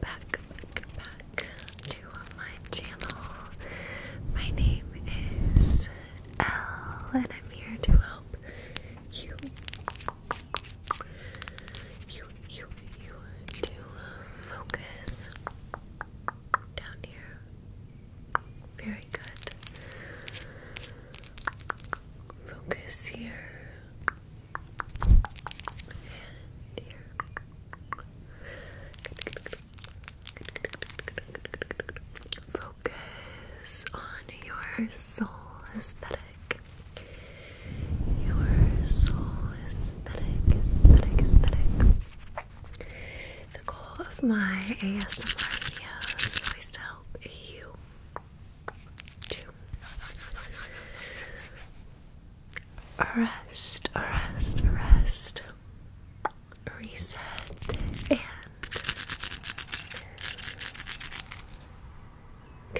back, back, back, to my channel. My name is Elle, and I'm here to help you, you, you, you to focus down here. Very good. Focus here. And Focus on your soul aesthetic. Your soul aesthetic, The goal of my ASMR videos is to help you Arrest, arrest, arrest. Reset and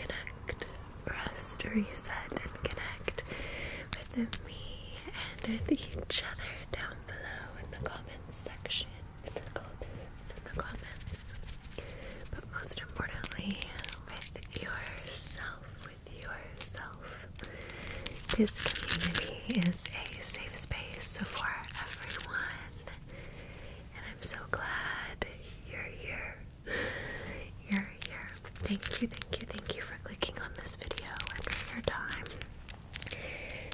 connect. Rest, reset, and connect with me and with each other down below in the comments section. In the comments, in the comments but most importantly, with yourself, with yourself. This community is a safe space for everyone, and I'm so glad you're here. You're here. Thank you, thank you, thank you for clicking on this video and for your time.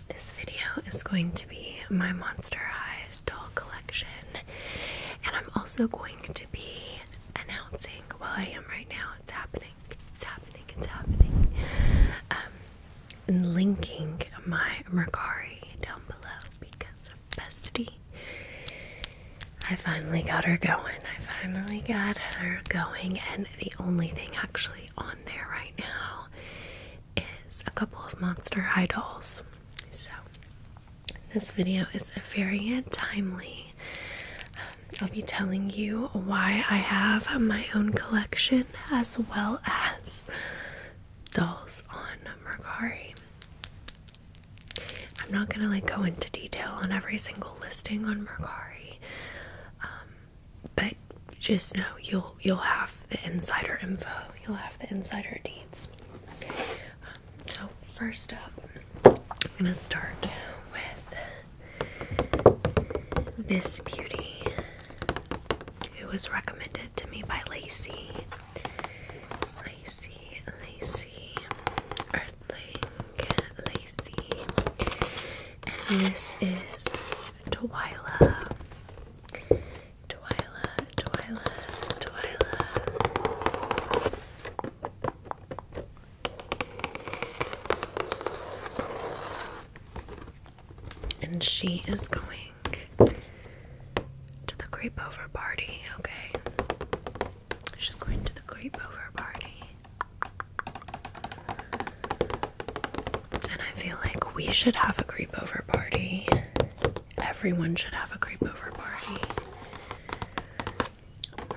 This video is going to be my Monster High doll collection, and I'm also going be announcing. Well, I am right now. It's happening. It's happening. It's happening. Um, linking my Mercari down below because Bestie. I finally got her going. I finally got her going, and the only thing actually on there right now is a couple of Monster High dolls. So this video is very timely. Um, I'll be telling you why I have my own collection as well as dolls on Mercari. I'm not gonna like go into detail on every single listing on Mercari, um, but just know you'll you'll have the insider info, you'll have the insider deeds so, first up, I'm gonna start with this beauty. It was recommended to me by Lacey. Lacey, Lacey, Earthling, Lacey. And this is Twyla. Twyla, Twyla, Twyla. And she is going to the creep over party, okay? She's going to the creep party. And I feel like we should have a creep over party. Everyone should have a creep over party.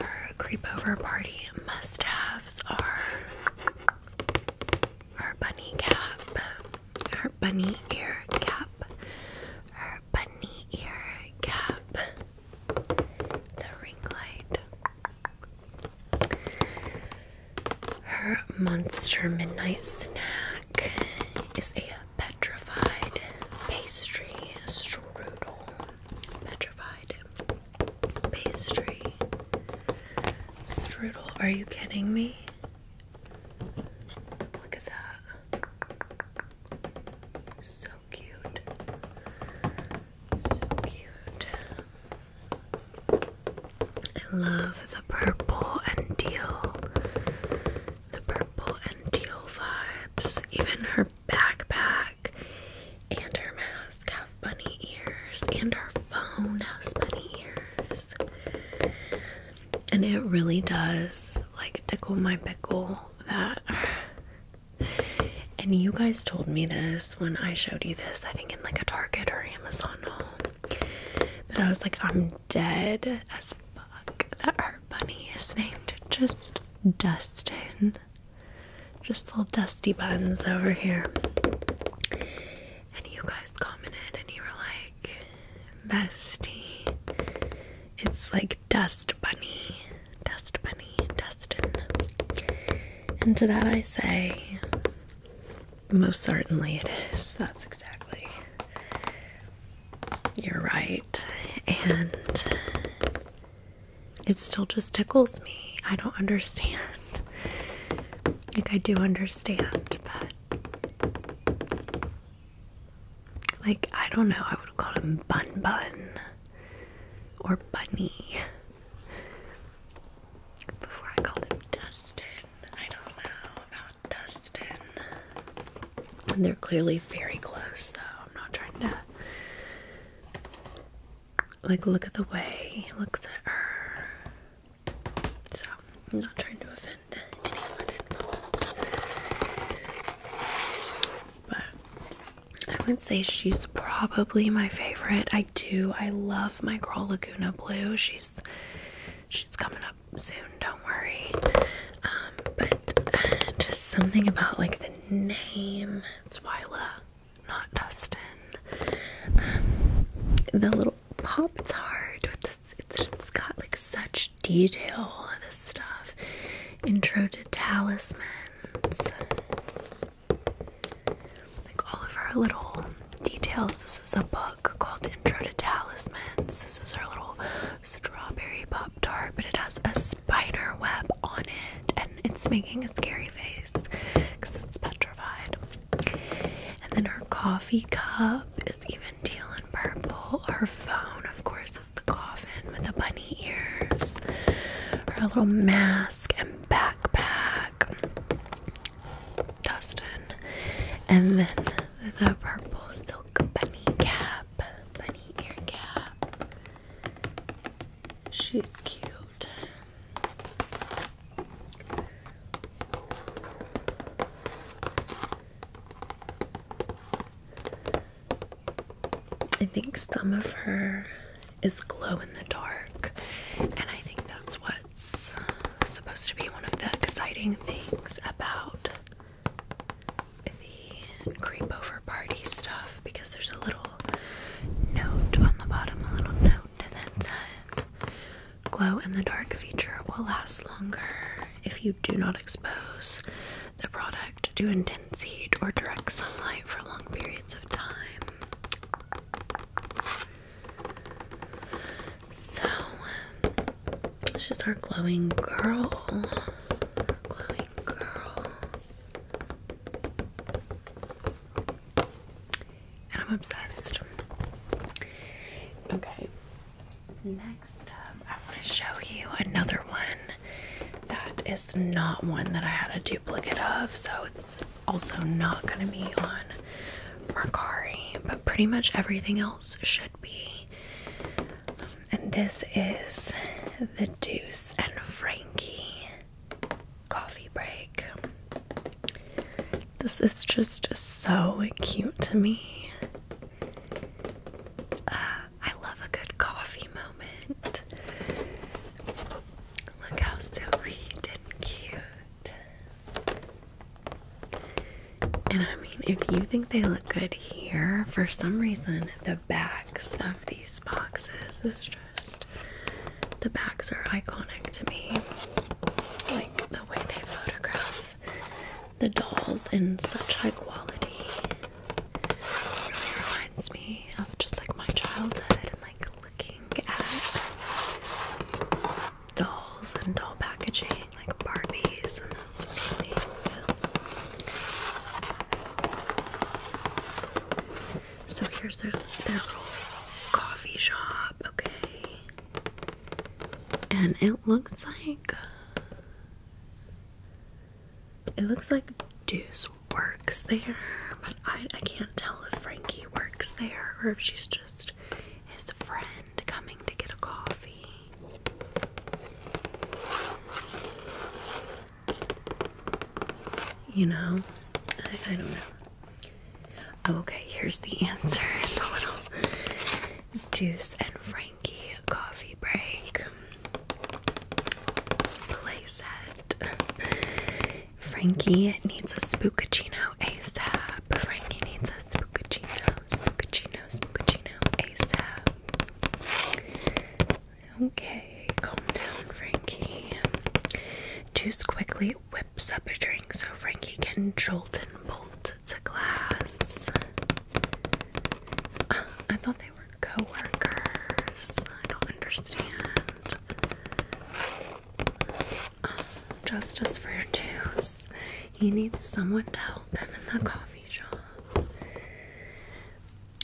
Her creepover party must haves are her bunny cap, her bunny ear cap, her bunny ear cap, the ring light, her monster midnight snack is a petrified pastry strudel. Petrified pastry strudel. Are you kidding me? Look at that. So cute. So cute. I love the purple and teal. The purple and teal vibes. Even her backpack and her mask have bunny ears, and her phone has bunny ears. And it really does like tickle my pickle that. And you guys told me this when I showed you this, I think in like a Target or Amazon haul. But I was like, I'm dead as fuck. That hurt bunny is named just Dustin. Just little dusty buns over here. And you guys commented and you were like, "Dusty, It's like Dust Bunny. Dust Bunny. Dustin. And to that I say, most certainly it is. That's exactly you're right. And it still just tickles me. I don't understand. Like, I do understand, but. Like, I don't know. I would have called him Bun Bun or Bunny before I called him Dustin. I don't know about Dustin. And they're clearly very close, though. I'm not trying to like look at the way he looks at her. So I'm not trying to offend anyone But I would say she's probably my favorite. I do I love my girl Laguna Blue. She's she's coming up soon, don't worry. Um, but uh, just something about like the name. It's Wyla, not Dustin. Um, the little pop tart with this, it's got like such detail. This stuff. Intro to talismans. Like all of our little details. This is a book called Intro to Talismans. This is our little strawberry pop tart, but it has a spider web on it, and it's making a scary face because it's petrified. And then her coffee cup is even teal and purple. Her phone, of course, is the coffin with the bunny ears. Her little mask and backpack, Dustin, and then the purple silk bunny cap, bunny ear cap. She's cute. I think some of her is glow in the dark, and I think that's what's supposed to be one of the exciting things about the creep party stuff because there's a little note on the bottom, a little note that says glow in the dark feature will last longer if you do not expose the product to intense heat or direct sunlight for long periods of time. So, she's our glowing girl. Glowing girl. I'm obsessed. Okay. Next up, um, I want to show you another one that is not one that I had a duplicate of, so it's also not going to be on Mercari, but pretty much everything else should be and this is the Deuce and Frankie coffee break. This is just so cute to me. Uh, I love a good coffee moment. Look how sweet and cute. And I mean, if you think they look good here, for some reason, the back stuff these boxes is just the bags are iconic to me. Like the way they photograph the dolls in such high quality. really reminds me of just like my childhood and like looking at dolls and doll packaging, like Barbies and those really so here's their their little coffee shop, okay. And it looks like it looks like Deuce works there, but I I can't tell if Frankie works there or if she's just his friend coming to get a coffee. You know, I, don't know. Oh, okay, here's the answer in Deuce and Frankie coffee break playset. Frankie needs a spookuccino ASAP. Frankie needs a spookachino. Spookachino. Spookachino. ASAP. Okay, calm down, Frankie. Juice quickly whips up a drink so Frankie can jolt and bolt to class. Uh, I thought they were coworkers. I don't understand. Uh, justice for Juice. He needs someone to help him in the coffee shop.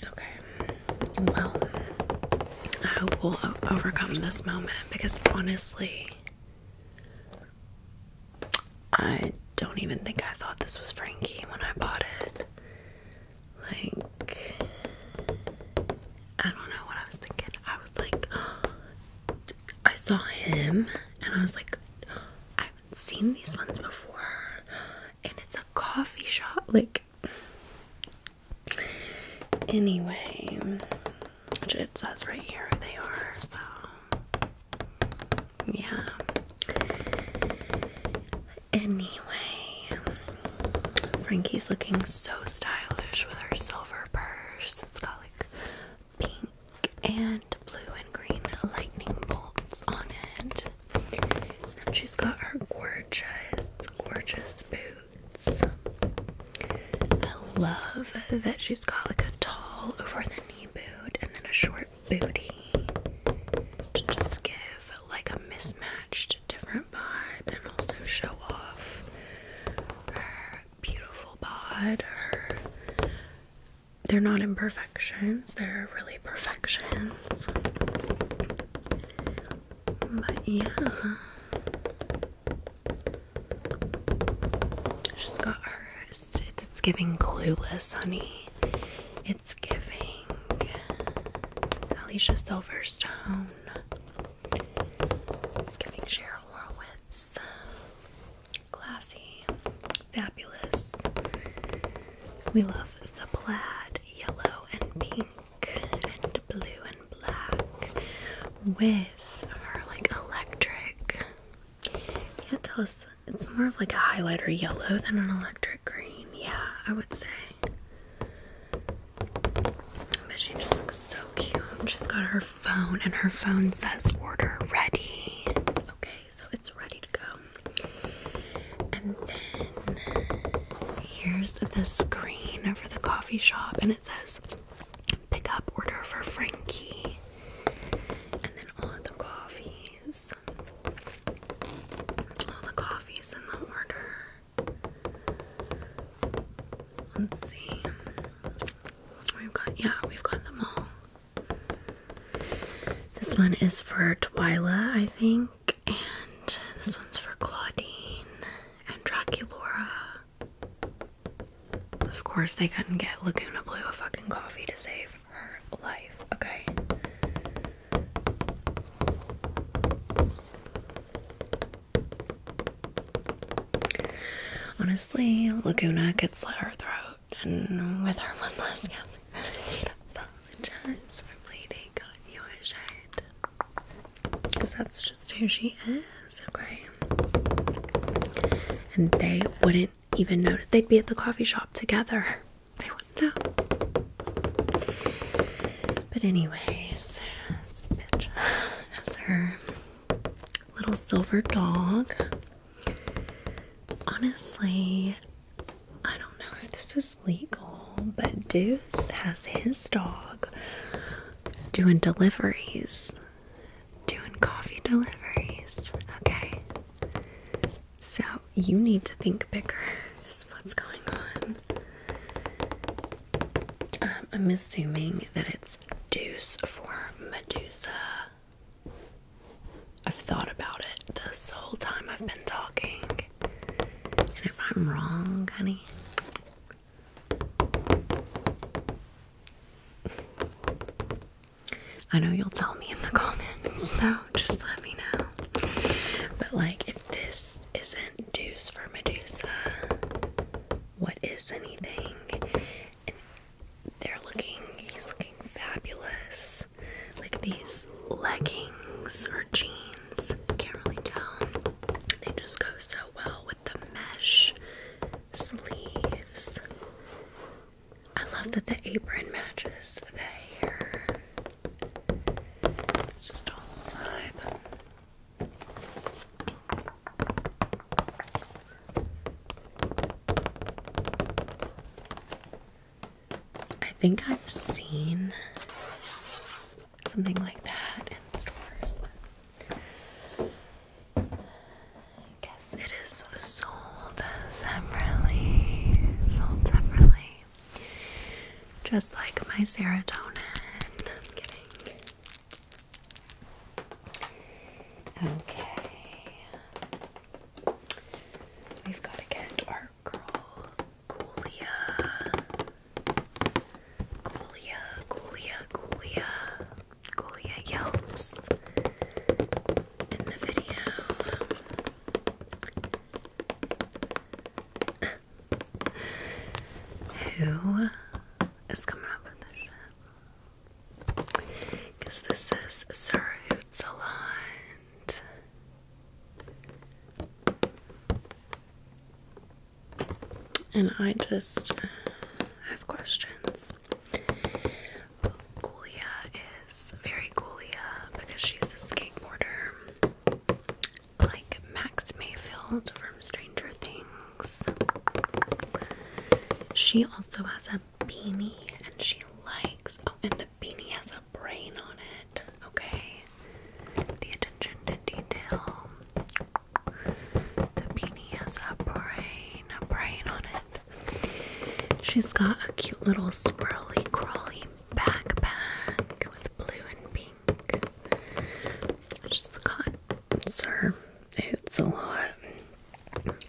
Okay, well, I hope we'll overcome this moment because honestly, I don't even think I thought this was Frankie when I bought it. Like, I don't know what I was thinking. I was like, I saw him and I was like, I have seen these ones before. And it's a coffee shop. Like, Anyway, which it says right here they are, so yeah. Anyway, Frankie's looking so stylish with her silver purse. It's got like pink and blue and green lightning bolts on it. And she's got her gorgeous, gorgeous boots. I love that she's got like a tall over the knee boot and then a short booty to just give like a mismatched different vibe and also show off her beautiful bod. Her they're not imperfections, they're really perfections. But yeah. She's got hers. It's giving clueless, honey. It's giving Alicia Silverstone. It's giving Cheryl Horowitz. Classy. Fabulous. We love the plaid yellow and pink and blue and black with our like electric. Can't tell us. It's more of like a highlighter yellow than an electric green. Yeah, I would say. But she just looks so cute. She's got her phone, and her phone says order ready. Okay, so it's ready to go. And then here's the screen for the coffee shop, and it says pick up order for Frankie. And then all the coffees, all the coffees in the order. Let's see. We've got, yeah, we've got them all. This one is for Twyla, I think and this one's for Claudine and Draculaura. Of course, they couldn't get Laguna Blue a fucking coffee to save her life, okay? Honestly, Laguna could slit her throat, and with her one last gasp, apologize for Lady got your shirt. Because that's just who she is, okay? And they wouldn't even know that They'd be at the coffee shop together. They wouldn't know. But, anyways, this her little silver dog. Honestly, I don't know if this is legal, but Deuce has his dog doing deliveries. Doing coffee deliveries. Okay. So you need to think bigger, what's going on. Um, I'm assuming that it's Deuce for Medusa. I've thought about it this whole time I've been talking. And if I'm wrong, honey. I know you'll tell me in the comments, so just let me know. But, like, if this isn't Deuce for Medusa, what is anything? they're looking, he's looking fabulous. Like, these leggings or jeans. Can't really tell. They just go so well with the mesh sleeves. I love that the apron matches the hair. It's just a vibe. I think I've seen something like that in stores. I guess it is sold separately. Sold separately. Just like my serotonin. Okay. We've got to get our girl. Coolia. Coolia, Coolia, Coolia. Coolia yelps in the video. Who is coming up with this shit? Because this is Sir Hoot and I just have questions. Gulia is very Gulia because she's a skateboarder like Max Mayfield from Stranger Things. She also has a beanie and she likes oh and the beanie has a brain on it. Okay the attention to detail. The beanie has a brain, a brain on it. She's got a cute little swirly crawly backpack with blue and pink. She's got her boots a lot.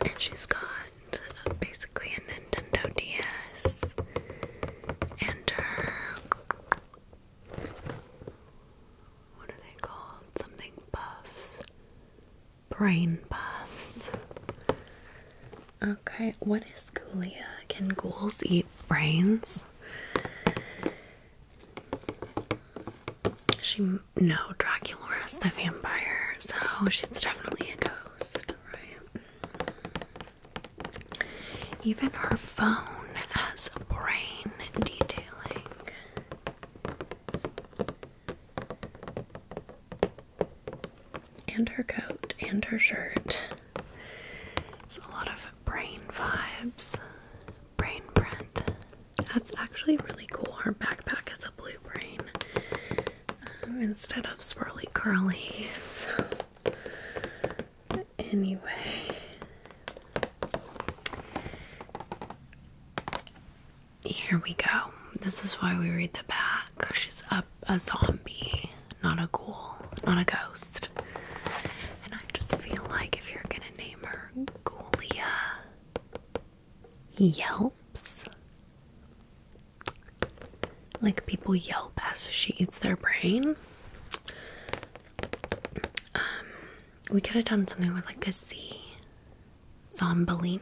And she's got uh, basically a Nintendo DS and her what are they called? Something puffs. Brain puffs. Okay, what is ghoulia? Can ghouls eat brains? She no, Dracula is the vampire, so she's definitely a ghost, right? Even her phone has a brain detailing. And her coat and her shirt. It's a lot of brain vibes, brain print. That's actually really cool. Her backpack has a blue brain um, instead of swirly curly. Anyway, here we go. This is why we read the back. She's a, a zombie, not a ghoul, not a ghost. And I just feel like if you're gonna name her Ghoulia Yelps, like people yelp as she eats their brain. Um, we could have done something with like a Z. Zombolina.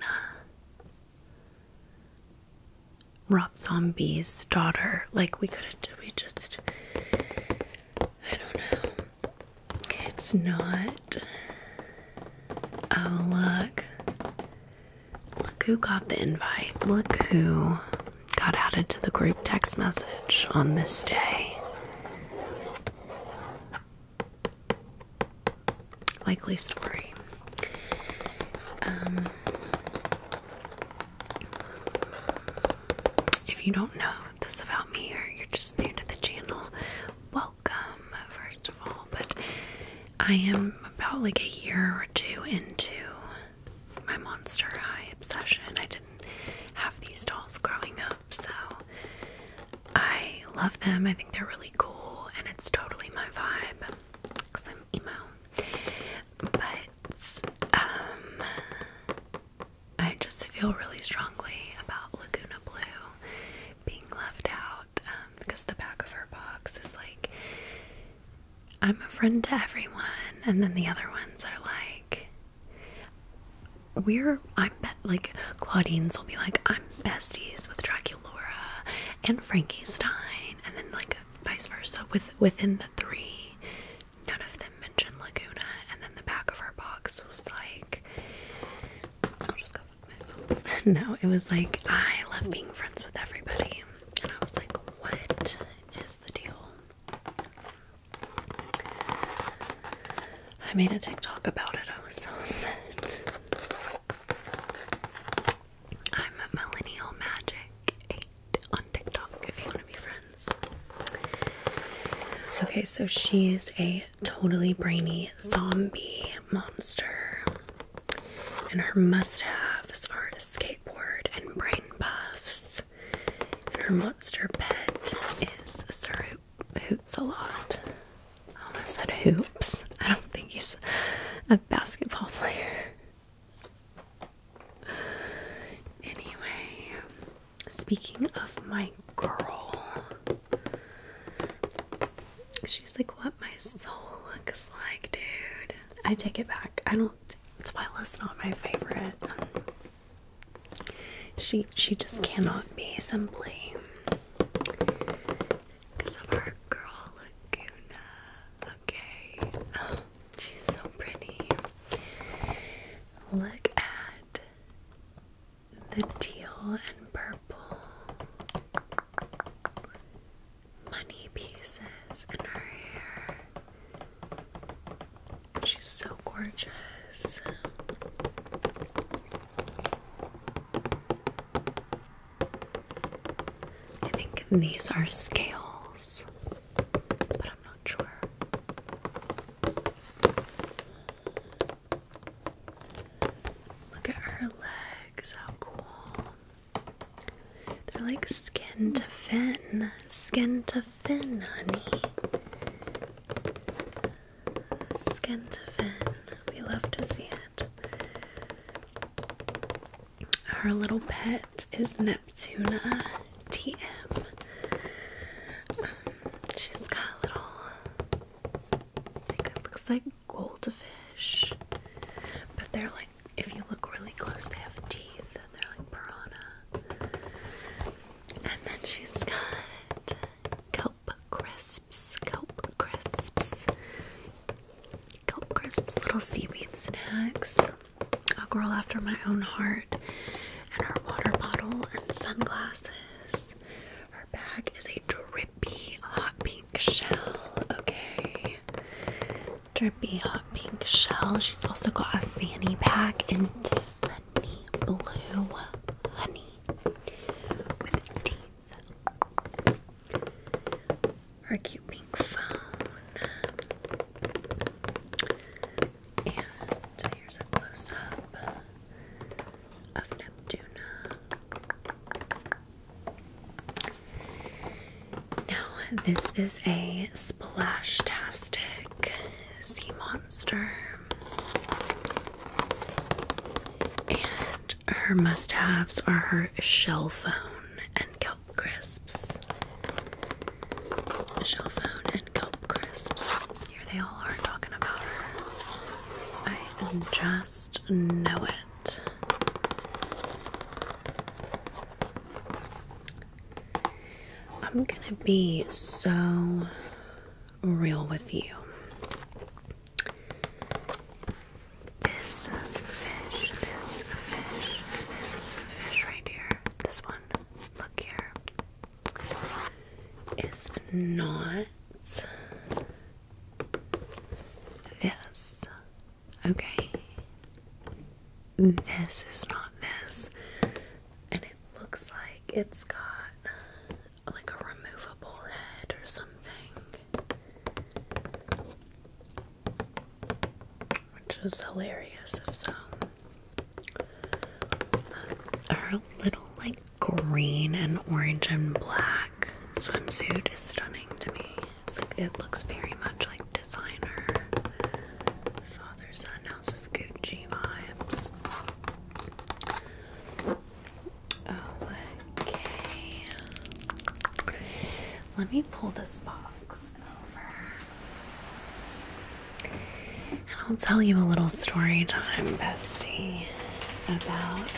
Rob Zombie's daughter. Like we could have we just I don't know. It's not Oh look. Look who got the invite. Look who got added to the group text message on this day. Likely story. Um, if you don't know this about me or you're just new to the channel, welcome, first of all. But I am about like a year or two into my Monster High obsession. I didn't have these dolls growing up, so I love them. I think they're really cool, and it's totally my vibe because I'm emo. But um, I just feel really strongly about Laguna Blue being left out um, because the back of her box is like I'm a friend to everyone, and then the other ones are like, we're I'm like Claudine's will be like I'm besties with Dracula and Frankenstein, and then like vice versa with within the three, none of them mentioned Laguna, and then the back of her box was like, I'll just go fuck myself. no, it was like I love being friends with everybody, and I was like, what is the deal? I made a TikTok about it. I was so upset. I'm a Millennial Magic on TikTok if you want to be friends. Okay, so she is a totally brainy zombie monster. And her must haves are skateboard and brain buffs her monster pet is Sir Hoops a lot. I almost said hoops. I don't think he's a basketball player. Anyway, speaking of my girl, she's like, What my soul looks like, dude. I take it back. I don't, that's why I listen my favorite. Um, she she just cannot be simply because of our girl Laguna. Okay, oh, she's so pretty. Look at the teal and purple money pieces in her hair. She's so gorgeous. I think these are scales, but I'm not sure. Look at her legs, how cool. They're like skin to fin, skin to Benani. Skentafin. We love to see it. Her little pet is Neptuna TM. she's got little, I it looks like goldfish, but they're like, if you look really close, they have teeth and they're like piranha. And then she's got kelp crisps, kelp crisps, kelp crisps, little seaweed snacks, a girl after my own heart, and her water bottle and sunglasses. Her bag is a drippy hot pink shell, okay? Drippy hot pink shell. She's also got a fanny pack and Sunny Blue Honey with teeth. Our cute pink phone. And here's a close up of Neptune. Now, this is a splash tastic sea monster. And her must haves are her shell phone and kelp crisps. Shell phone and kelp crisps. Here they all are talking about her. I just know it. I'm gonna be so real with you. This fish, this fish, this fish right here, this one, look here, is not this. Okay? This is not this looks like it's got like a removable head or something. Which is hilarious if so. Our uh, little like green and orange and black swimsuit is stunning to me. it looks very much like designer. Gucci vibes. Okay. Let me pull this box over. I'll tell you a little story time, bestie, about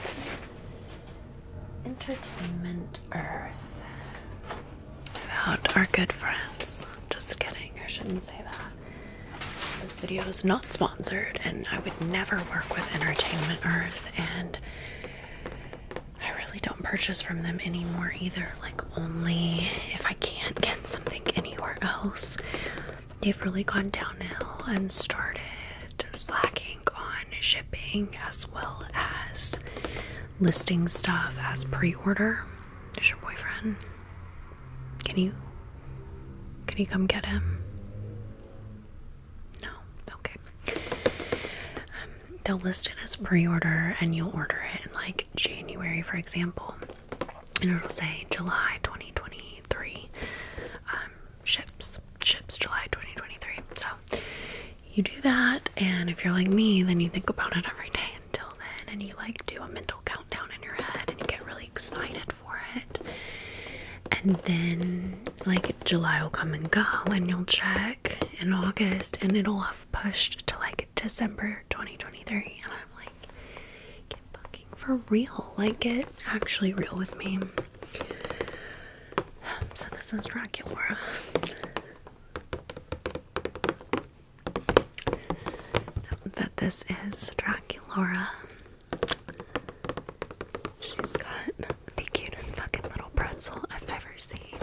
Entertainment Earth. About our good friends. Just kidding, I shouldn't say that. This video is not sponsored, and I would never work with Entertainment Earth, and I really don't purchase from them anymore either. Like, only if I can't get something anywhere else. They've really gone downhill and started slacking on shipping as well as listing stuff as pre order. Is your boyfriend? Can you can you come get him? No. Okay. Um, they'll list it as pre-order and you'll order it in like January, for example. And it'll say July 2023 um, ships. Ships July 2023. So you do that, and if you're like me, then you think about it every day until then and you like do a mental countdown in your head and you get really excited for it. And then like July will come and go and you'll check in August and it'll have pushed to like December 2023 and I'm like fucking for real. Like get actually real with me. So this is Dracula. That this is Draculaura. She's got the cutest fucking little pretzel I've ever seen.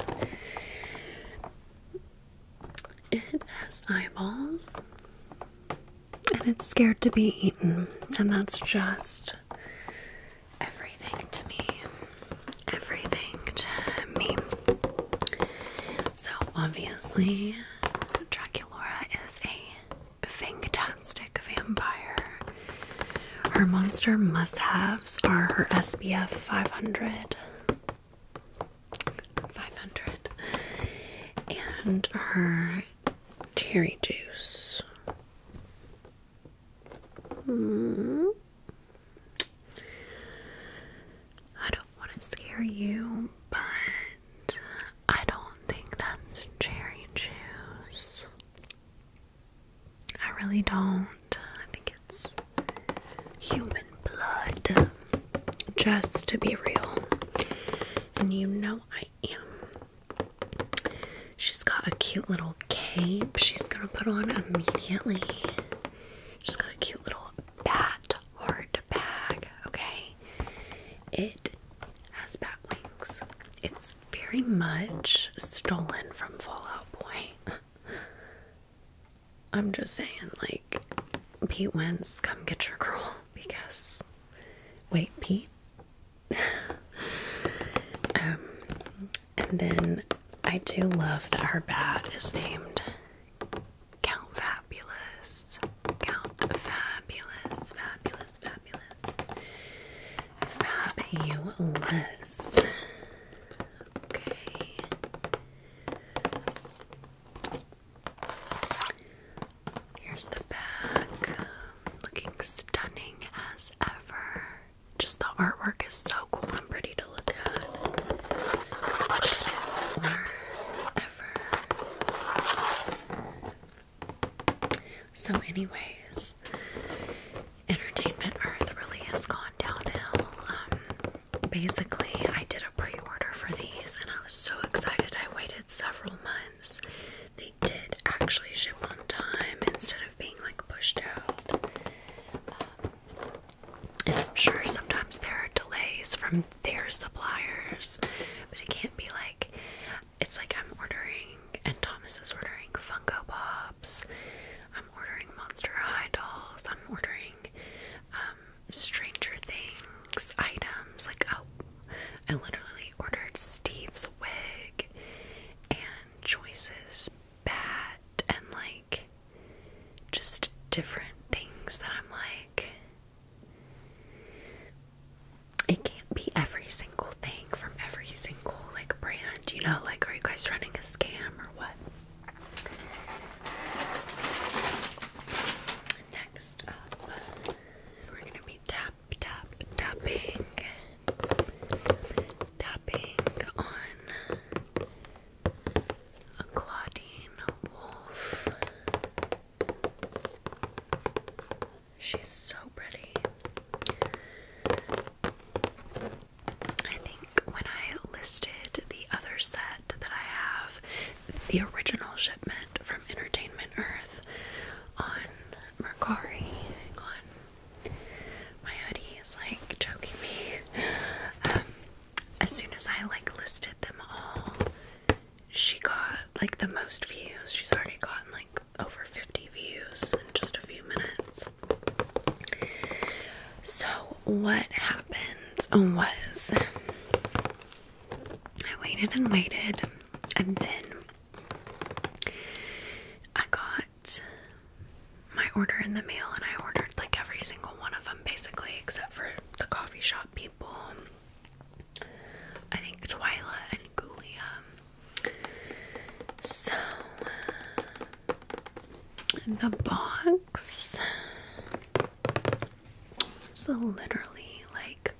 It has eyeballs and it's scared to be eaten, and that's just everything to me. Everything to me. So, obviously, Draculaura is a fantastic vampire. Her monster must haves are her SPF 500. 500 and her cherry juice. Hmm. I don't want to scare you, but I don't think that's cherry juice. I really don't. I think it's human blood. Just to be real. And you know I am. She's got a cute little cape she's gonna put on immediately. She's got a cute little bat hard to bag, okay? It has bat wings. It's very much stolen from Fallout Boy. I'm just saying, like, Pete Wentz, come get your girl because. Wait, Pete? um, and then I do love that her bat is named Count Fabulous. Count Fabulous. Fabulous. Fabulous. Fabulous. Okay. Here's the back. Looking stunning as ever. Just the artwork is so cool and pretty to so, anyways, entertainment earth really has gone downhill. Um, basically, I did a pre order for these and I was so excited. I waited several months. They did actually ship on time instead of being like pushed out. Um, and I'm sure sometimes there are delays from they're suppliers, but it can't be like it's like I'm ordering and Thomas is ordering Funko Pops. I'm ordering Monster High dolls. I'm ordering um, Stranger Things items. Like oh, I literally ordered Steve's wig and Joyce's bat and like just different things that I'm like it can't be every single thing from every single like brand, you know, like are you guys running a scam or what? Next up, we're gonna be tap tapping tapping on a Claudine Wolf She's so pretty. I think when I listed the other set that I have, the original shipment from Entertainment Earth on Mercari, my hoodie is like choking me. Um, as soon as I like listed them all, she got like the most views. She's already gotten like over 50 views in just a few minutes. So, what happened um, was I waited and waited, and then I got my order in the mail, and I ordered like every single one of them basically, except for the coffee shop people people. Um, I think Twyla and Ghoulia. So uh, the box is literally like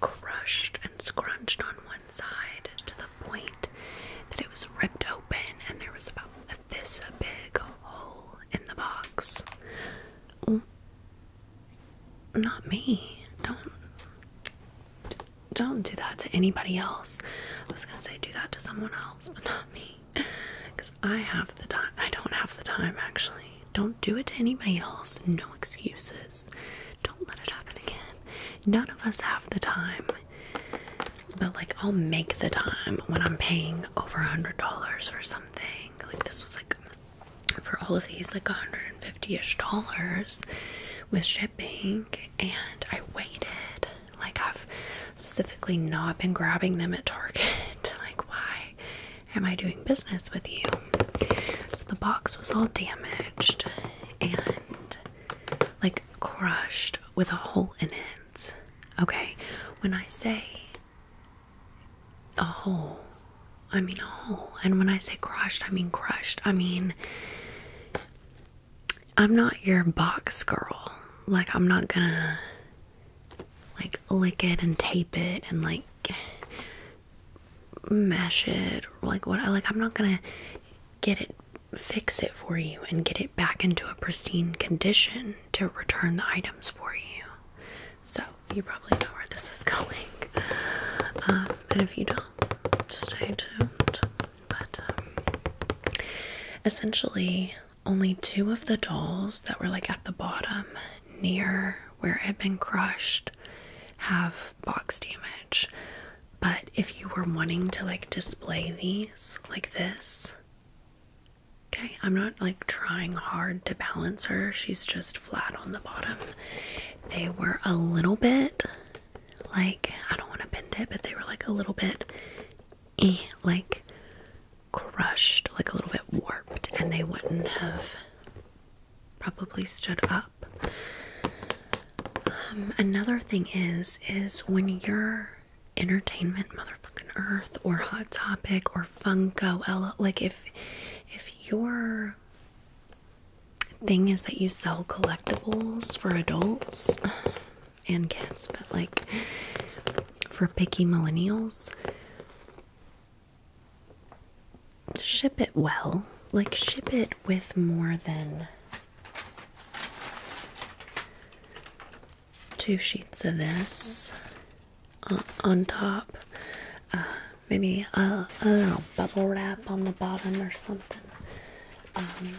crushed and scrunched on one side to the point that it was ripped open and there was about this big hole in the box. Not me. Don't don't do that to anybody else. I was gonna say do that to someone else, but not me. Because I have the time. I don't have the time actually. Don't do it to anybody else. No excuses. Don't let it happen again. None of us have the time. But like I'll make the time when I'm paying over a hundred dollars for something. Like this was like for all of these like 150ish dollars with shipping and I waited like I've specifically not been grabbing them at Target like why am I doing business with you so the box was all damaged and like crushed with a hole in it okay when I say a hole. I mean, a hole. And when I say crushed, I mean crushed. I mean, I'm not your box girl. Like, I'm not gonna, like, lick it and tape it and, like, mash it. like, what? Like, I'm not gonna get it, fix it for you and get it back into a pristine condition to return the items for you. So you probably know where this is going. Um, and if you don't, stay tuned. But um, essentially, only two of the dolls that were like at the bottom near where it had been crushed have box damage. But if you were wanting to like display these like this, okay, I'm not like trying hard to balance her, she's just flat on the bottom. They were a little bit like I don't want to bend it, but they were like a little bit eh, like crushed, like a little bit warped, and they wouldn't have probably stood up. Um, another thing is is when you're entertainment motherfucking earth or hot topic or funko like if if your thing is that you sell collectibles for adults and kids, but like for picky millennials, ship it well. Like, ship it with more than two sheets of this on top. Uh, maybe a, little bubble wrap on the bottom or something. Um,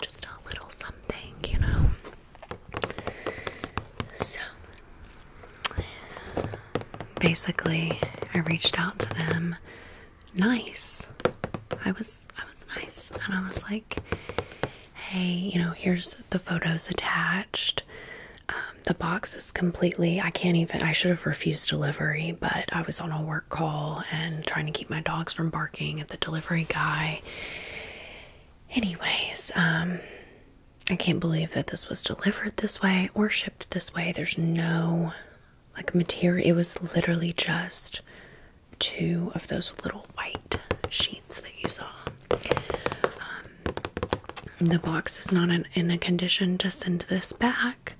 just a little something, you know. So basically, I reached out to them. Nice. I was I was nice, and I was like, "Hey, you know, here's the photos attached. Um, the box is completely I can't even I should have refused delivery, but I was on a work call and trying to keep my dogs from barking at the delivery guy. Anyways, um I can't believe that this was delivered this way or shipped this way. There's no like material. It was literally just two of those little white sheets that you saw. Um, the box is not in, a condition to send this back,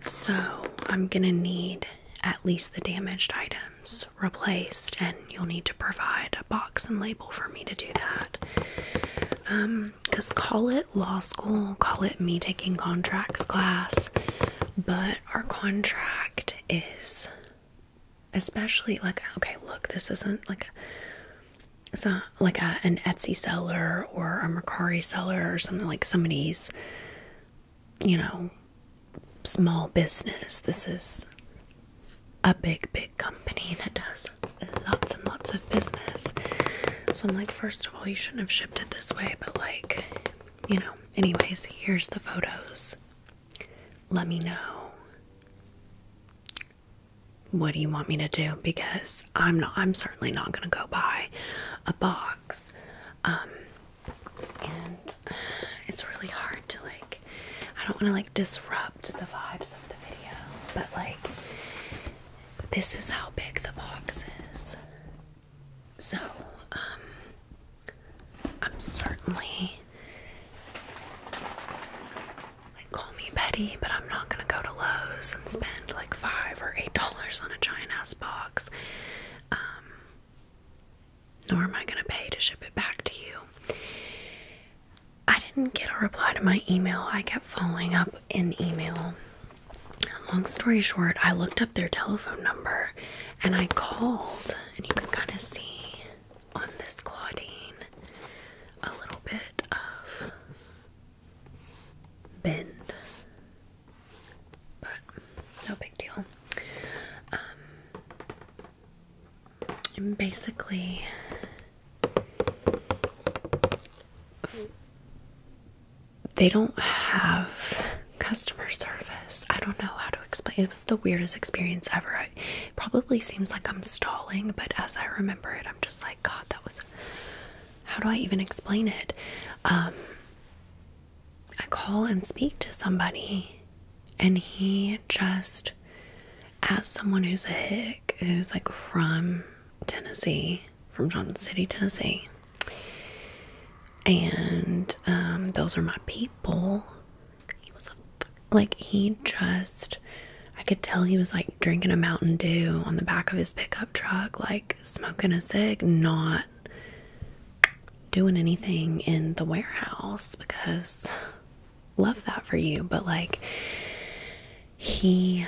so I'm gonna need at least the damaged items replaced, and you'll need to provide a box and label for me to do that. Um, because call it law school, call it me taking contracts class, but our contract is especially like okay, look, this isn't like so like an Etsy seller or a Mercari seller or something like somebody's, you know, small business. This is a big, big company that does lots and lots of business. So I'm like, first of all, you shouldn't have shipped it this way, but like, you know, anyways, here's the photos. Let me know what do you want me to do? Because I'm not, I'm certainly not going to go buy a box. Um, and it's really hard to like, I don't want to like disrupt the vibes of the video, but like, this is how big the box is. So, um, I'm certainly like, call me Betty, but I'm not gonna go to Lowe's and spend like five or eight dollars on a giant ass box. Um, nor am I gonna pay to ship it back to you. I didn't get a reply to my email. I kept following up in email. Long story short, I looked up their telephone number and I called, and you can kind of see on this Claudine a little bit of bend, but no big deal. Um, basically they don't have customer service. I don't know how to explain. It was the weirdest experience ever. probably seems like I'm stalling, but as I remember it, I'm just like, God, that was how do I even explain it? Um, I call and speak to somebody, and he just, as someone who's a hick, who's like from Tennessee, from Johnson City, Tennessee, and um, those are my people. He was like, he just I could tell he was like drinking a Mountain Dew on the back of his pickup truck, like smoking a cig, not doing anything in the warehouse because love that for you. But like, he,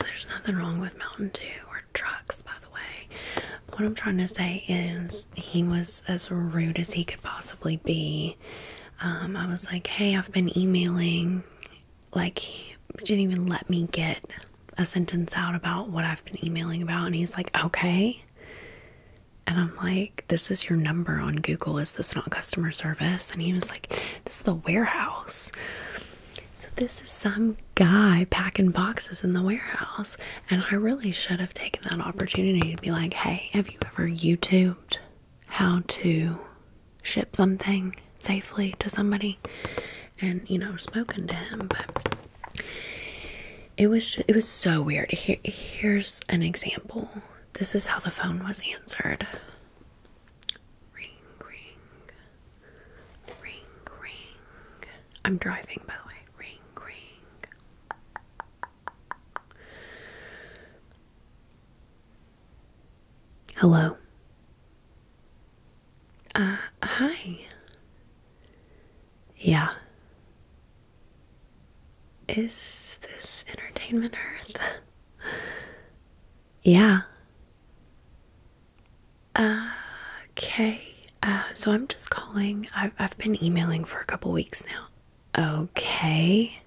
there's nothing wrong with Mountain Dew or trucks, by the way. What I'm trying to say is he was as rude as he could possibly be. Um, I was like, hey, I've been emailing like he didn't even let me get a sentence out about what I've been emailing about and he's like, "Okay." And I'm like, "This is your number on Google. Is this not customer service?" And he was like, "This is the warehouse." So this is some guy packing boxes in the warehouse, and I really should have taken that opportunity to be like, "Hey, have you ever YouTubed how to ship something safely to somebody and you know spoken to him but it was it was so weird here's an example this is how the phone was answered ring ring ring ring i'm driving by the way ring ring Hello. Uh, hi. Yeah. Is this Entertainment Earth? yeah. Uh, okay. Uh, so I'm just calling. I've, I've been emailing for a couple weeks now. Okay.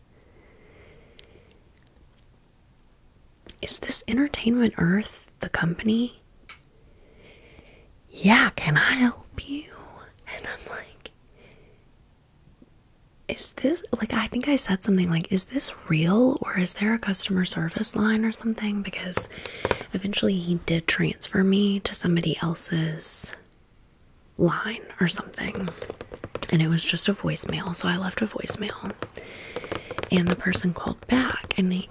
Is this Entertainment Earth the company? Yeah, can I help you? And I'm like, is this like I think I said something like, is this real or is there a customer service line or something? Because eventually he did transfer me to somebody else's line or something and it was just a voicemail so i left a voicemail and the person called back and they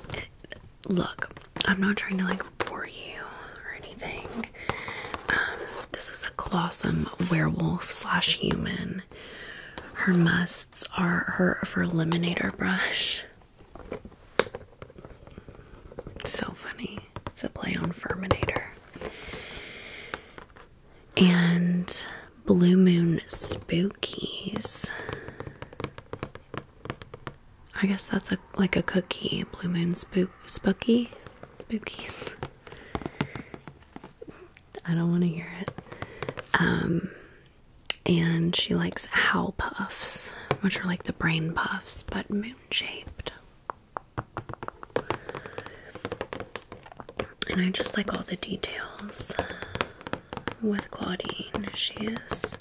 look i'm not trying to like bore you or anything um, this is a colossum werewolf slash human her musts are her for liminator brush so funny it's a play on Ferminator and Blue Moon Spookies. I guess that's a like a cookie. Blue Moon Spook Spooky Spookies. I don't want to hear it. Um and she likes howl puffs, which are like the brain puffs, but moon shaped. And I just like all the details with Claudine. She is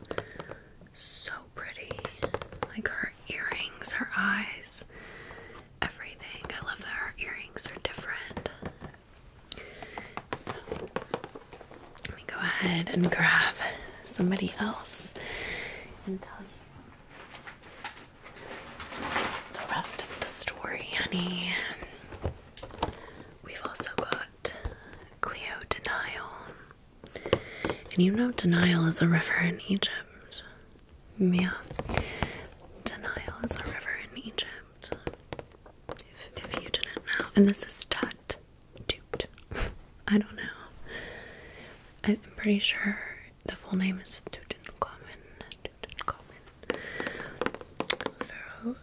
so pretty. Like her earrings, her eyes, everything. I love that her earrings are different. So let me go ahead and grab somebody else and tell you the rest of the story, honey. We've also got Cleo Denial. And you know, Denial is a river in Egypt. Yeah. Denial is a river in Egypt. If, you didn't know. And this is Tut. Duped. I don't know. I'm pretty sure the full name is Tutankhamun. Tutankhamun. Pharaoh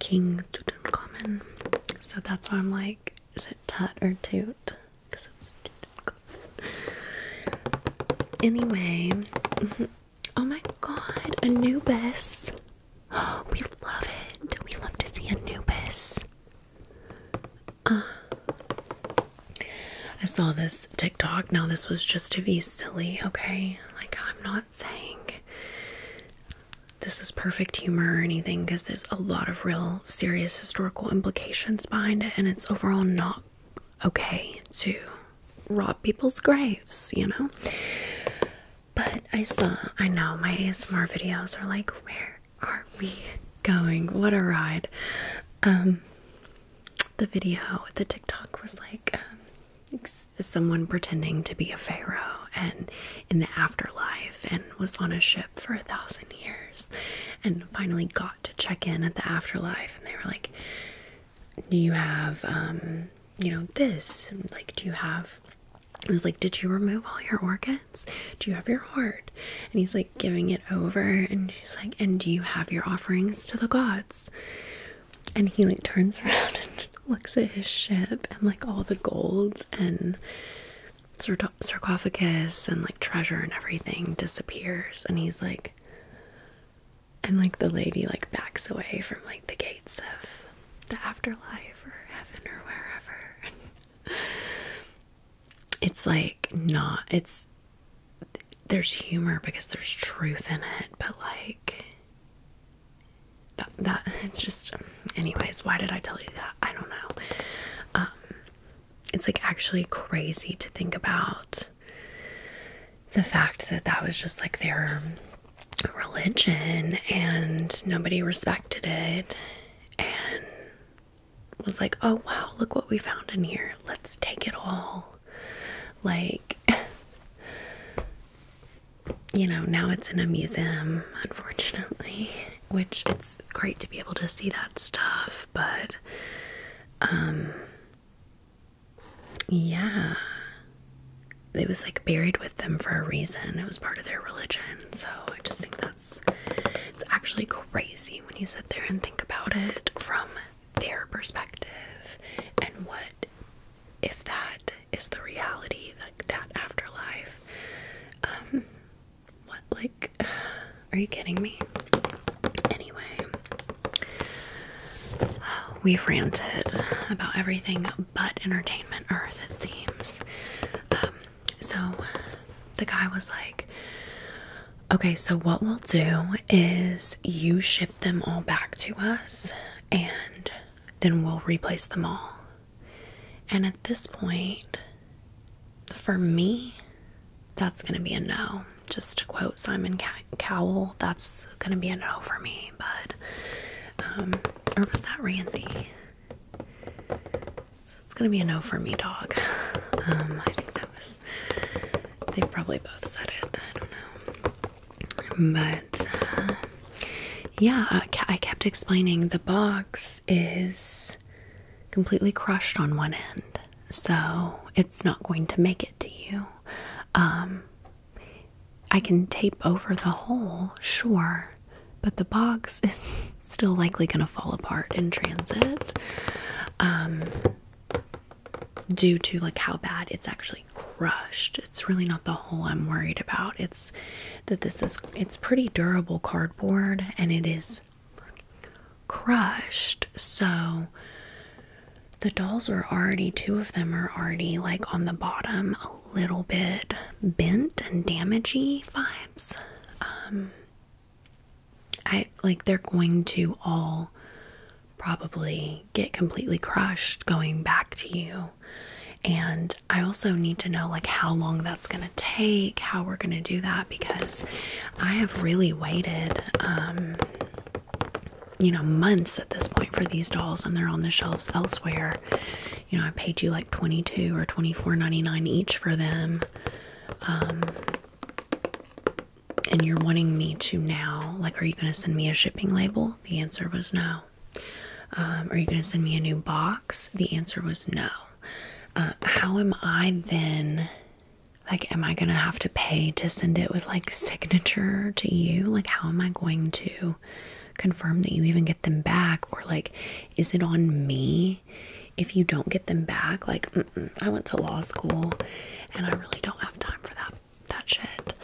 King Tutankhamun. So that's why I'm like, is it Tut or Toot? Because Anyway, oh my god, Anubis. we love it. We love to see Anubis. Uh, I saw this TikTok. Now, this was just to be silly, okay? Like, I'm not saying this is perfect humor or anything because there's a lot of real serious historical implications behind it, and it's overall not okay to rob people's graves, you know? But I saw, I know my ASMR videos are like, where are we going? What a ride. Um, the video, the TikTok was like, um, was someone pretending to be a pharaoh and in the afterlife and was on a ship for a thousand years and finally got to check in at the afterlife and they were like do you have um you know this like do you have it was like did you remove all your organs do you have your heart and he's like giving it over and he's like and do you have your offerings to the gods and he like turns around and looks at his ship and like all the golds and sort sarcophagus and like treasure and everything disappears and he's like and like the lady like backs away from like the gates of the afterlife or heaven or wherever it's like not it's there's humor because there's truth in it but like that, that it's just um, anyways why did i tell you that i don't know um, it's like actually crazy to think about the fact that that was just like their religion and nobody respected it and was like oh wow look what we found in here let's take it all like, you know, now it's in a museum, unfortunately, which it's great to be able to see that stuff, but um yeah. It was like buried with them for a reason. It was part of their religion. So I just think that's it's actually crazy when you sit there and think about it from their perspective and what if that is the reality, like that afterlife, um, what, like, are you kidding me? Anyway, we've ranted about everything but entertainment earth, it seems. Um, so the guy was like, Okay, so what we'll do is you ship them all back to us, and then we'll replace them all. And at this point, for me, that's going to be a no. Just to quote Simon Cowell, that's going to be a no for me. But, um, or was that Randy? it's going to be a no for me, dog. Um, I think that was, they probably both said it. I don't know. But uh, yeah, I kept explaining the box is completely crushed on one end, so it's not going to make it to you. Um, I can tape over the hole, sure, but the box is still likely going to fall apart in transit um, due to like how bad it's actually crushed. It's really not the hole I'm worried about. It's that this is it's pretty durable cardboard and it is crushed. So the dolls are already two of them are already like on the bottom a little bit bent and damagey vibes. Um I like they're going to all probably get completely crushed going back to you. And I also need to know like how long that's going to take, how we're going to do that because I have really waited um you know months at this point for these dolls and they're on the shelves elsewhere. You know, I paid you like 22 or 24.99 each for them. Um and you're wanting me to now like are you going to send me a shipping label? The answer was no. Um, are you going to send me a new box? The answer was no. Um, how am I then? Like, am I going to have to pay to send it with like signature to you? Like, how am I going to confirm that you even get them back? Or, like, is it on me if you don't get them back? Like, I went to law school and I really don't have time for that that shit.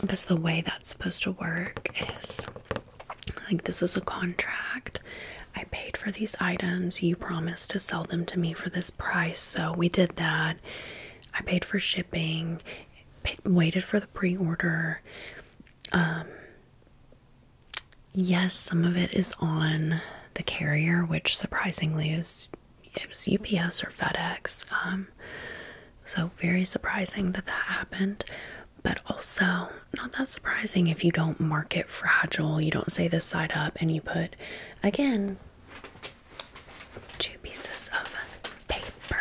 because um, the way that's supposed to work is like this is a contract. I paid for these items. You promised to sell them to me for this price, so we did that. I paid for shipping, waited for the pre order. Um, yes, some of it is on the carrier, which surprisingly is it was UPS or FedEx. Um, so very surprising that that happened, but also not that surprising if you don't mark it fragile, you don't say this side up, and you put again two pieces of paper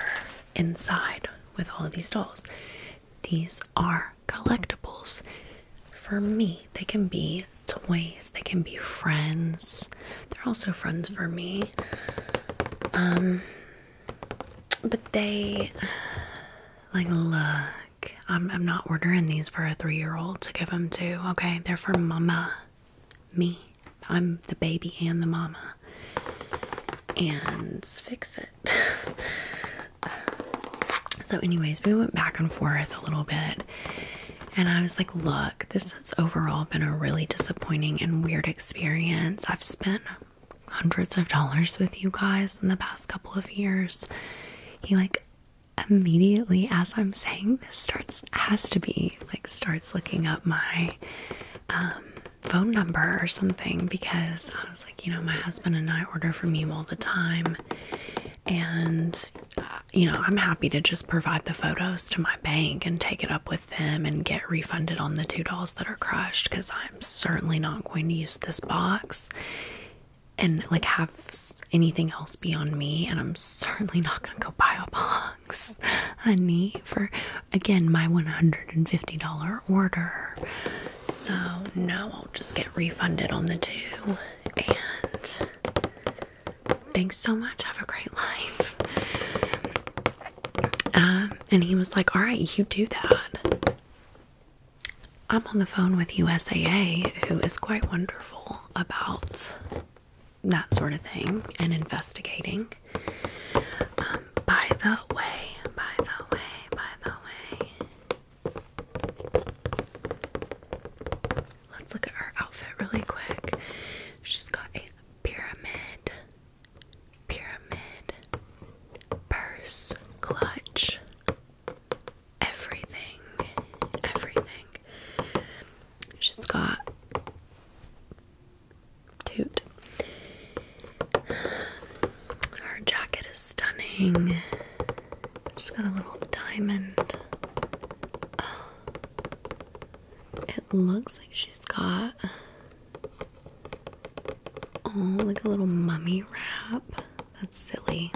inside with all of these dolls. These are collectibles. For me, they can be toys, they can be friends, they're also friends for me. Um, but they like look. I'm I'm not ordering these for a three-year-old to give them to. Okay, they're for mama, me. I'm the baby and the mama. And fix it. so, anyways, we went back and forth a little bit, and I was like, look this has overall been a really disappointing and weird experience. I've spent hundreds of dollars with you guys in the past couple of years. He like immediately as I'm saying this starts has to be like starts looking up my um, phone number or something because I was like, you know, my husband and I order from you all the time and uh, you know, I'm happy to just provide the photos to my bank and take it up with them and get refunded on the two dolls that are crushed because I'm certainly not going to use this box and like have anything else be on me and I'm certainly not gonna go buy a box honey for again my $150 order so no I'll just get refunded on the two and thanks so much have a great life um, and he was like, All right, you do that. I'm on the phone with USAA, who is quite wonderful about that sort of thing and investigating. Um, by the way, by the way, by the way, let's look at her outfit really quick. She's got a pyramid pyramid, purse, clutch, everything, everything. She's got toot. Her jacket is stunning. She's got a little diamond. Oh, it looks like she's got Oh, like a little mummy wrap. That's silly.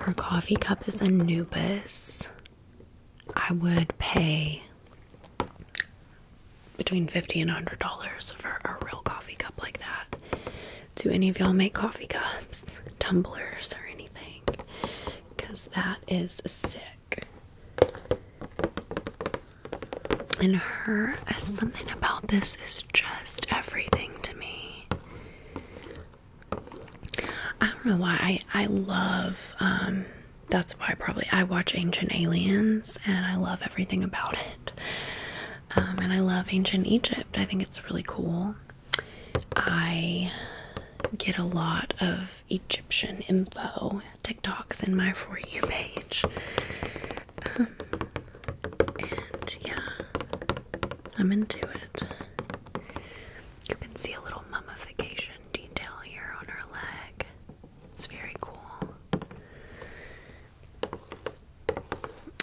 Her coffee cup is Anubis. I would pay between 50 and 100 dollars for a real coffee cup like that. Do any of y'all make coffee cups, tumblers, or anything? Because that is sick. And her, something about this is just everything to me. I don't know why. I, I love, um, that's why probably I watch Ancient Aliens and I love everything about it. Um, and I love Ancient Egypt. I think it's really cool. I get a lot of Egyptian info TikToks in my For You page. Um, and yeah, I'm into it. You can see a little mummification detail here on her leg. It's very cool.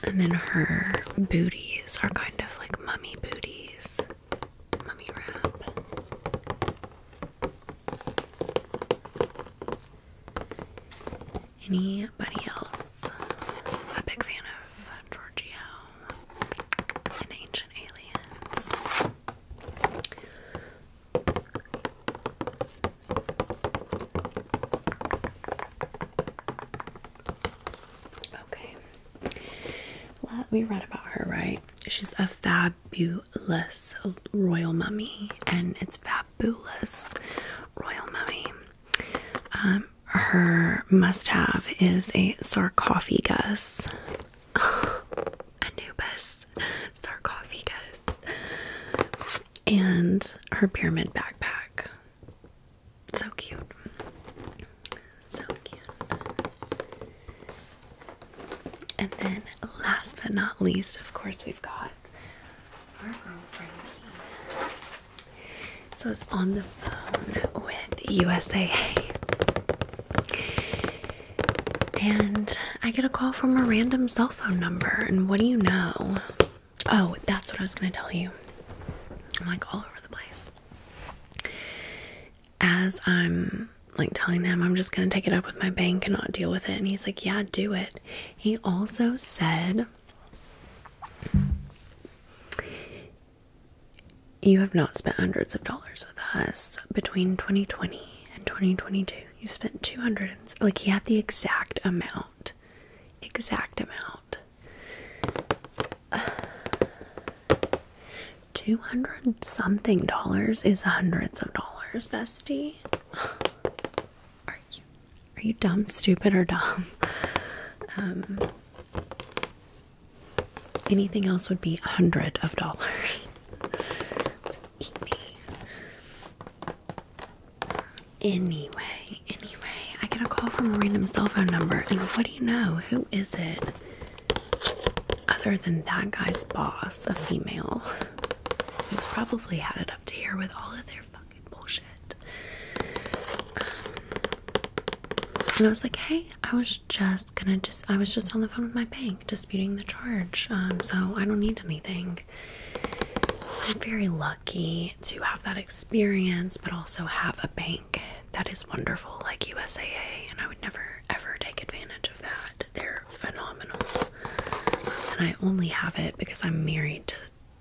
And then her booties are kind of like mummy booties, mummy wrap. Anybody else a big fan of Giorgio and Ancient Aliens? Okay. we read about her, right? She's a fab fabulous royal mummy, and it's fabulous royal mummy. Um, her must have is a sarcophagus. Anubis sarcophagus. And her pyramid backpack. So cute. So cute. And then, last but not least, of course, we've got our girlfriend. So it's on the phone with USA, And I get a call from a random cell phone number. And what do you know? Oh, that's what I was going to tell you. I'm like all over the place. As I'm like telling him I'm just gonna take it up with my bank and not deal with it. And he's like, Yeah, do it. He also said, You have not spent hundreds of dollars with us between 2020 and 2022. You spent 200, like, he had the exact amount. Exact amount. 200 something dollars is hundreds of dollars, bestie. Are you are you dumb, stupid, or dumb? Um, anything else would be a hundred of dollars. Anyway, anyway, I get a call from a random cell phone number, and what do you know? Who is it? Other than that guy's boss, a female. Who's probably had it up to here with all of their fucking bullshit. Um, and I was like, hey, I was just gonna just, I was just on the phone with my bank disputing the charge. Um, so I don't need anything. I'm very lucky to have that experience, but also have a bank that is wonderful, like USAA, and I would never ever take advantage of that. They're phenomenal. And I only have it because I'm married to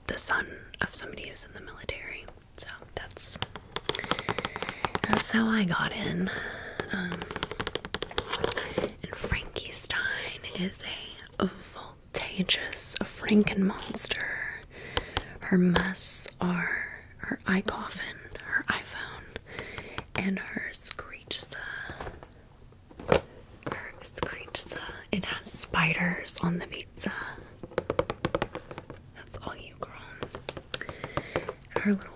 the son of somebody who's in the military. So that's that's how I got in. Um, and Frankenstein is a voltageous Franken monster. Her musts are her eye coffin, her iPhone, and her screech or screechza. It has spiders on the pizza. That's all you, girl. Her little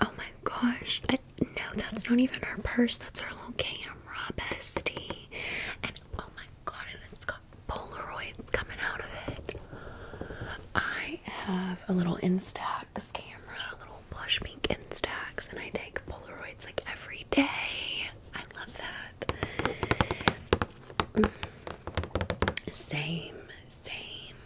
oh my gosh! I, no, that's not even her purse. That's her little camera, bestie. And oh my god, and it's got Polaroids coming out of it. I have a little Instax camera, blush pink in stacks, and I take Polaroids like every day. I love that. Mm. Same, same.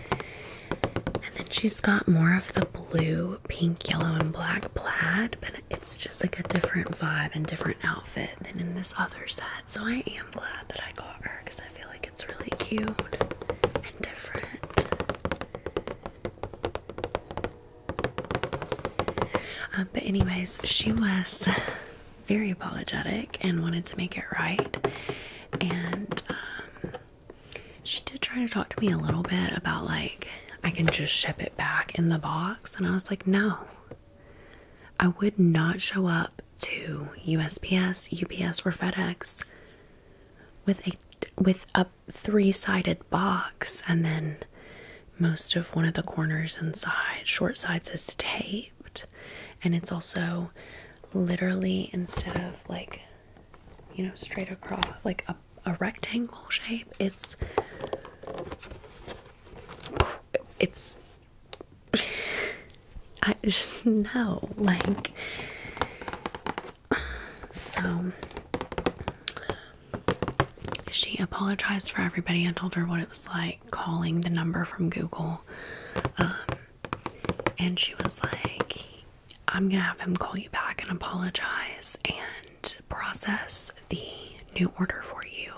And then she's got more of the blue, pink, yellow, and black plaid, but it's just like a different vibe and different outfit than in this other set. So I am glad that I got her because I feel like it's really cute and different. Um, but, anyways, she was very apologetic and wanted to make it right. And um, she did try to talk to me a little bit about, like, I can just ship it back in the box. And I was like, no, I would not show up to USPS, UPS, or FedEx with a with a three-sided box and then most of one of the corners inside short sides is taped and it's also literally instead of like you know straight across like a, a rectangle shape it's it's I just know like so she apologized for everybody and told her what it was like calling the number from Google. Um, and she was like, I'm gonna have him call you back and apologize and process the new order for you.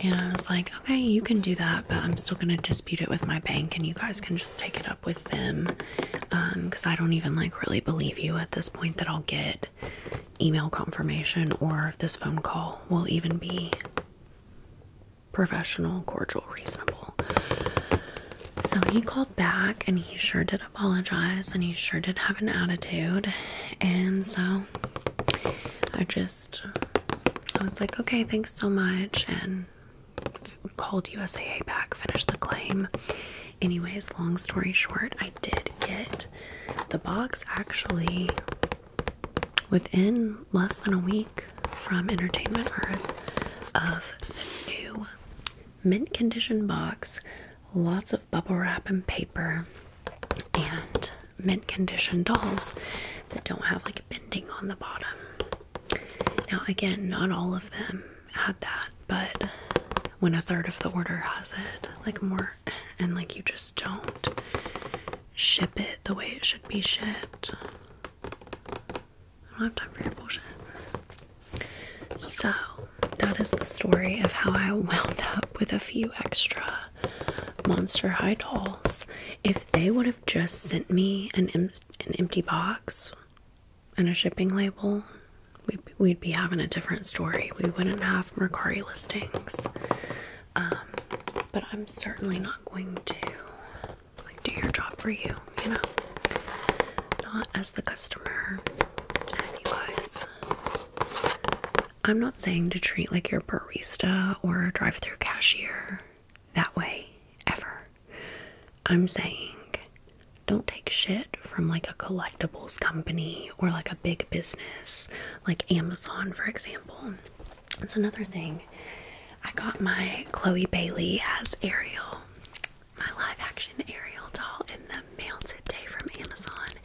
And I was like, okay, you can do that, but I'm still gonna dispute it with my bank, and you guys can just take it up with them because um, I don't even like really believe you at this point that I'll get email confirmation or this phone call will even be professional, cordial, reasonable. So he called back and he sure did apologize and he sure did have an attitude. And so I just, I was like, okay, thanks so much. And called USA back, finished the claim. Anyways, long story short, I did get the box actually within less than a week from Entertainment Earth of the new mint condition box, lots of bubble wrap and paper, and mint condition dolls that don't have like bending on the bottom. Now, again, not all of them had that, but when a third of the order has it, like more, and like you just don't ship it the way it should be shipped. I don't have time for your bullshit. So, that is the story of how I wound up with a few extra Monster High dolls. If they would have just sent me an, an empty box, and a shipping label, we'd, be having a different story. We wouldn't have Mercari listings. Um, but I'm certainly not going to like do your job for you, you know. Not as the customer. And I'm not saying to treat like your barista or drive-through cashier that way ever. I'm saying don't take shit from like a collectibles company or like a big business like Amazon, for example. That's another thing. I got my Chloe Bailey as Ariel, my live action Ariel doll, in the mail today from Amazon.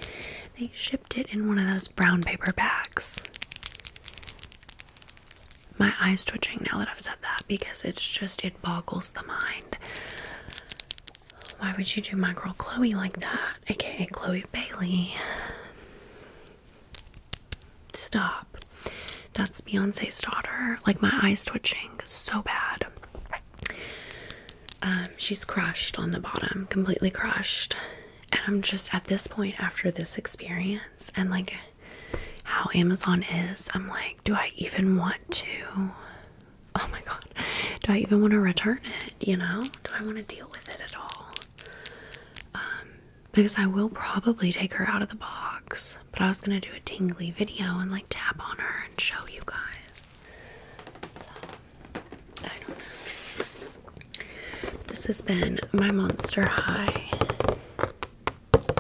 They shipped it in one of those brown paper bags. My eye's twitching now that I've said that because it's just, it boggles the mind. Why would you do my girl Chloe like that? AKA Chloe Bailey. Stop. That's Beyonce's daughter. Like my eyes twitching so bad. Um, she's crushed on the bottom, completely crushed. And I'm just at this point after this experience and like how Amazon is, I'm like, do I even want to oh my god, do I even want to return it? You know, do I want to deal with it at all? Um, because I will probably take her out of the box, but I was gonna do a tingly video and like tap on her and show you guys. So, I don't know. This has been my Monster High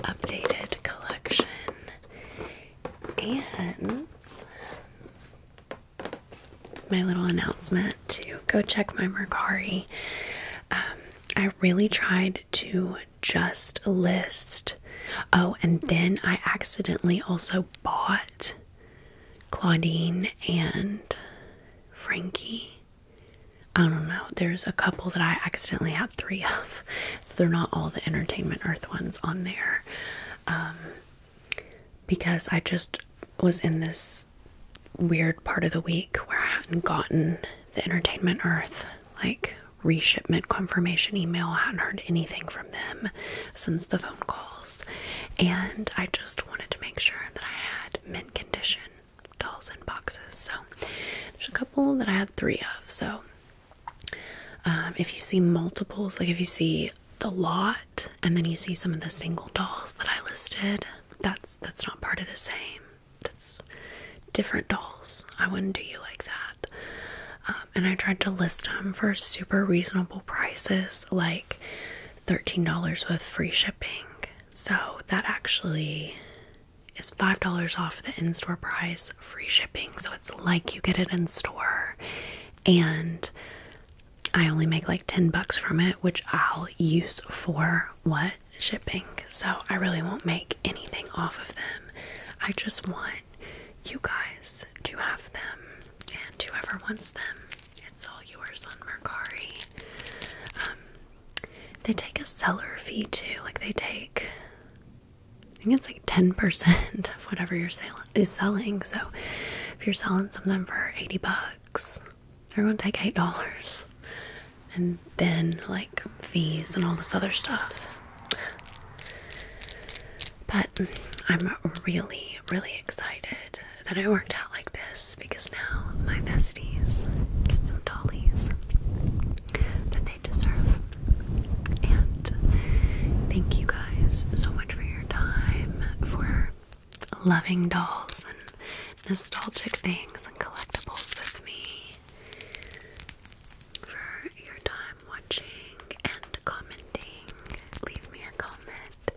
updated collection. And my little announcement to go check my Mercari. Um, I really tried to just list. Oh, and then I accidentally also bought Claudine and Frankie. I don't know. There's a couple that I accidentally have three of so they're not all the entertainment earth ones on there um, because i just was in this weird part of the week where i hadn't gotten the entertainment earth like reshipment confirmation email i hadn't heard anything from them since the phone calls and i just wanted to make sure that i had mint condition dolls and boxes so there's a couple that i had three of so um, if you see multiples, like if you see the lot and then you see some of the single dolls that I listed, that's that's not part of the same. That's different dolls. I wouldn't do you like that. Um, and I tried to list them for super reasonable prices, like $13 with free shipping. So that actually is $5 off the in store price free shipping, so it's like you get it in store. And I only make like 10 bucks from it, which I'll use for what? Shipping. So I really won't make anything off of them. I just want you guys to have them, and whoever wants them, it's all yours on Mercari. Um, they take a seller fee too, like they take I think it's like 10% of whatever you're selling is selling. So if you're selling something for 80 bucks, everyone take $8 and then like fees and all this other stuff. But I'm really, really excited that I worked out like this because now my besties get some dollies that they deserve. And thank you guys so much for your time, for loving dolls and nostalgic things and collectibles with me, for your time watching and commenting. Leave me a comment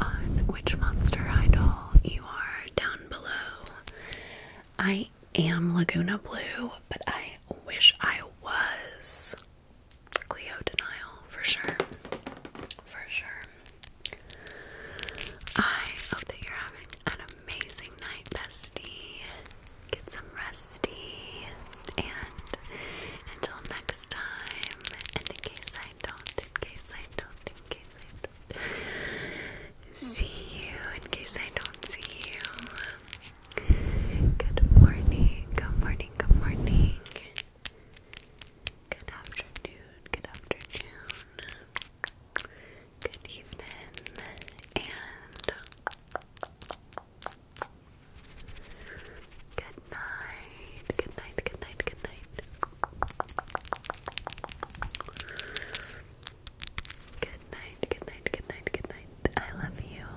on which monster idol you are down below. I am Laguna Blue, but I wish I was. Cleo denial for sure. For sure. I hope that you're having an amazing night, bestie. Get some resty. And until next time, in case I don't, in case I don't, in case I don't see you, in case I don't see you. Good morning, good morning, good morning. Good afternoon, good afternoon. Good evening, and good night, good night, good night, good night. Good night, good night, good night, good night. I love you.